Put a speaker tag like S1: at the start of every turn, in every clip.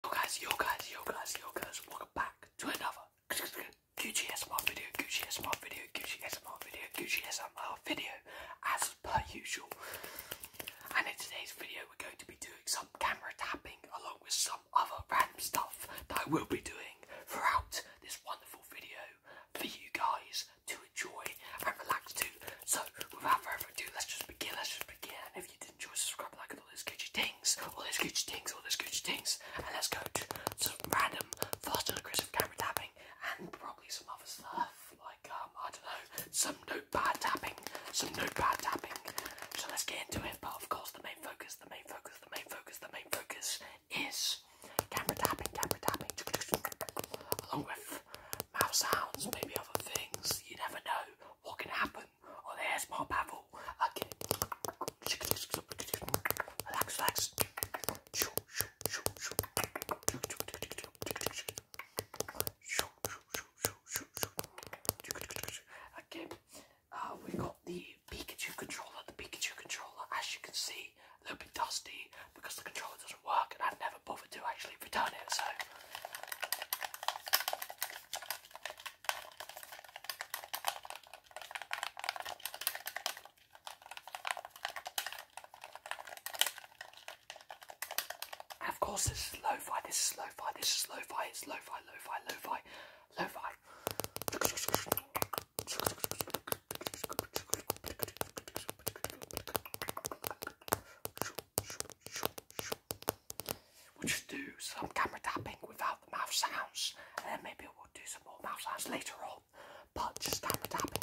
S1: Yo guys, yo guys, yo guys, yo guys, welcome back to another Gucci SMR video, Gucci SMR video, Gucci SMR video, Gucci SMR video, as per usual. And in today's video, we're going to be doing some camera tapping along with some other random stuff that I will be doing throughout this wonderful video for you guys to enjoy and relax to. So, without further ado, let's just begin. Let's just begin you did enjoy, like, all those goochy things, all those goochy things, all those goochy things, and let's go to some random, fast and aggressive camera tapping, and probably some other stuff, like, um, I don't know, some notepad tapping, some notepad tapping, so let's get into it, but of course the main focus, the main focus, the main focus, the main focus is camera tapping, camera tapping, along with mouse sounds, maybe other things, you never know what can happen. Oh, there's my baffle. Okay. Relax, relax. Okay. Uh, we got the Pikachu controller. The Pikachu controller, as you can see, a little bit dusty because the controller doesn't work, and I have never bothered bothered to actually return it, so. And of course, this is lo-fi, this is lo-fi, this is lo-fi, it's lo-fi, lo-fi, lo-fi, lo-fi. We'll just do some camera tapping without the mouth sounds, and then maybe we'll do some more mouth sounds later on. But just camera tapping.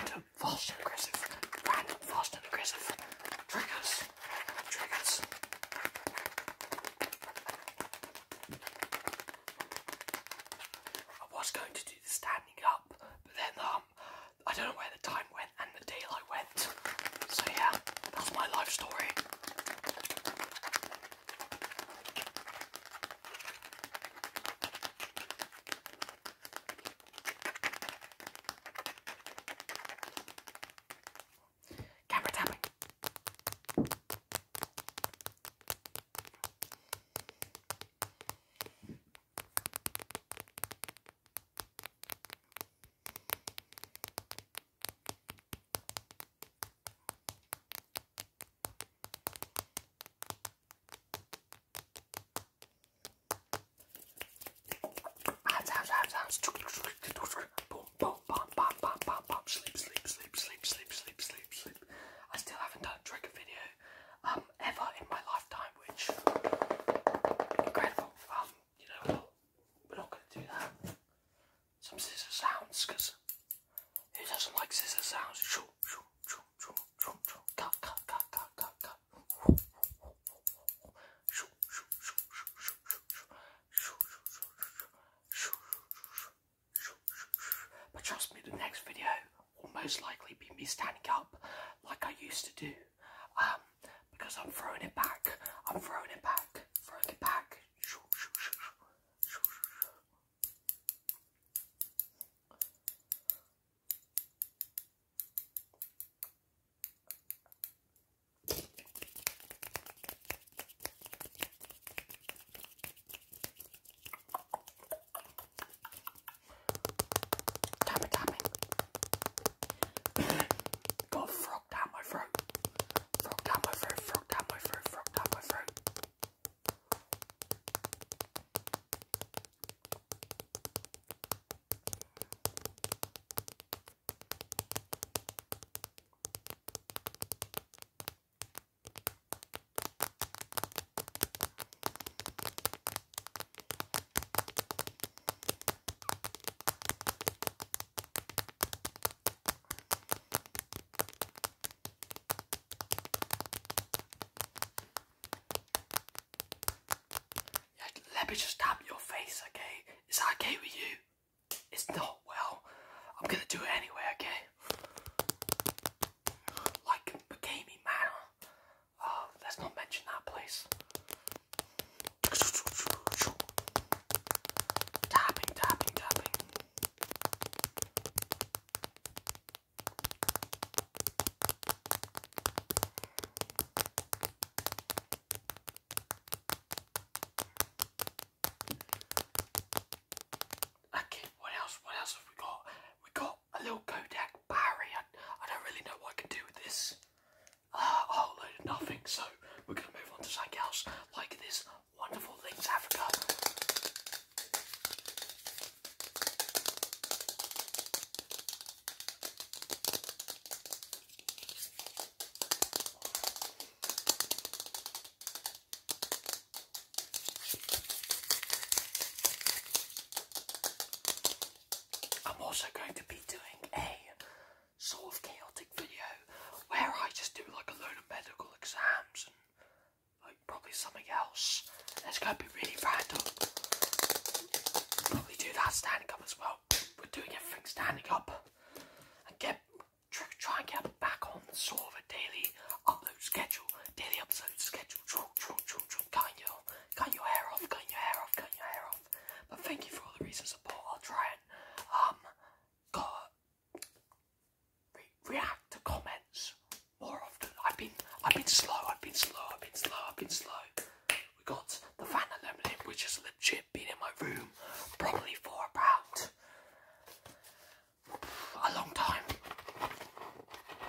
S1: Random, fast and aggressive. Random, fast and aggressive. Triggers. Triggers. I was going to do the standing up, but then um, I don't know where the time went and the deal I went. So yeah, that's my life story. Camera tapping. I still haven't done a trigger video um, ever in my lifetime, which incredible. Um, you know, we're not going to do that. Some scissor sounds, who doesn't like scissor sounds? Shoo, shoo, shoo, shoo, shoo, shoo. Cut, cut, cut, cut, cut, cut. Shoo, shoo, shoo, shoo, shoo, shoo, shoo, shoo, shoo, shoo, shoo, shoo, shoo. But trust me, the next video will most likely be me standing up like I used to do because I'm throwing it back. I'm throwing it back. Throwing it back. Tapping, tapping. Got a frog down my throat. Frog down my throat, frog down my throat, frog down my throat let me just tap your face, okay? Is that okay with you? It's not well. I'm gonna do it anyway, okay? Like a gaming man. Uh, let's not mention that place. Tapping, tapping, tapping. Okay, what else? What else have we got? We got a little Kodak Barry. I, don't really know what I can do with this. Ah, a whole load of nothing. So we're going to move on to something else, like this wonderful Links Africa. I'm also going to be doing a sort of chaotic video where I just do like a load of medical exams and like probably something else. And it's going to be really random. Probably do that standing up as well. We're doing everything standing up and get try and get back on the sort of a daily upload schedule, daily upload schedule, true, true, true, true, kind Cut your hair off, cut your hair off, cut your hair off. But thank you for all the recent support. I'll try and um react to comments more often. I've been I've been slow, I've been slow, I've been slow, I've been slow. We got the Vanna Lemonade, which is legit been in my room probably for about a long time.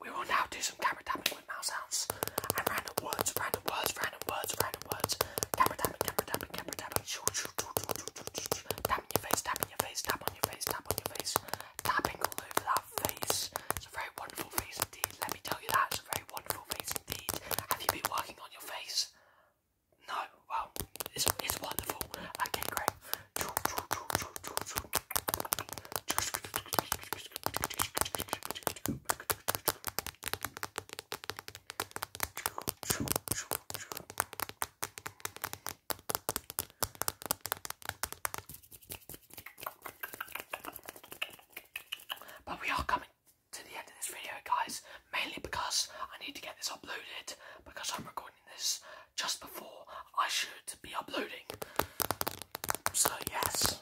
S1: We will now do some camera tapping with mouse sounds and random words, random words, random words, random words. Camera tapping, camera tapping, camera tapping. Tap your face, tap your face, tap on your face, tap on your face. Tapping all over that face. It's a very wonderful face indeed. Let me tell you that. It's a very wonderful face indeed. Have you been working on your face? No. Wow, it's, it's wonderful. Okay, great. But we are coming to the end of this video, guys, mainly because I need to get this uploaded because I'm recording this just before I should be uploading. So, yes,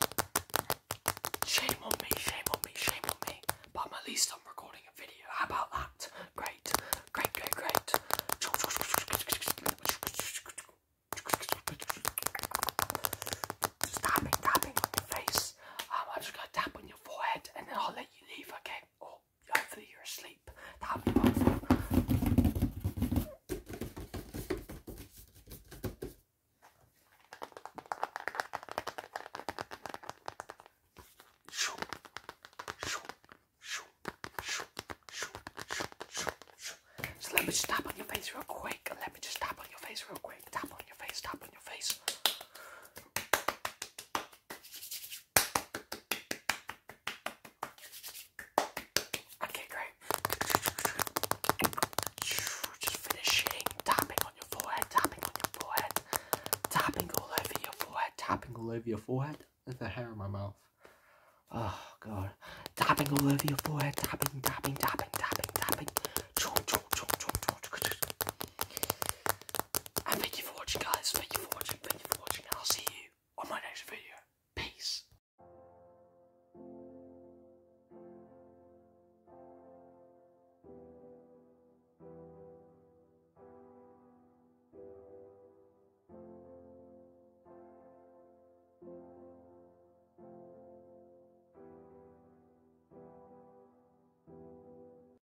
S1: shame on me, shame on me, shame on me. But at least I'm recording a video. How about that? Great, great, great, great. Just tapping, on your face. Um, i just gonna tap on your forehead and then I'll let you leave, okay? So let me just tap on your face real quick. Let me just tap on your face real quick. Tap on your face, tap on your face. Okay, great. Just finishing, tapping on your forehead, tapping on your forehead, tapping all over your forehead, tapping all over your forehead. There's a hair in my mouth. Oh god. Tapping all over your forehead, tapping, tapping, tapping, tapping, tapping. And thank you for watching, guys. Thank you for watching. Thank you for watching. I'll see you on my next video. Peace.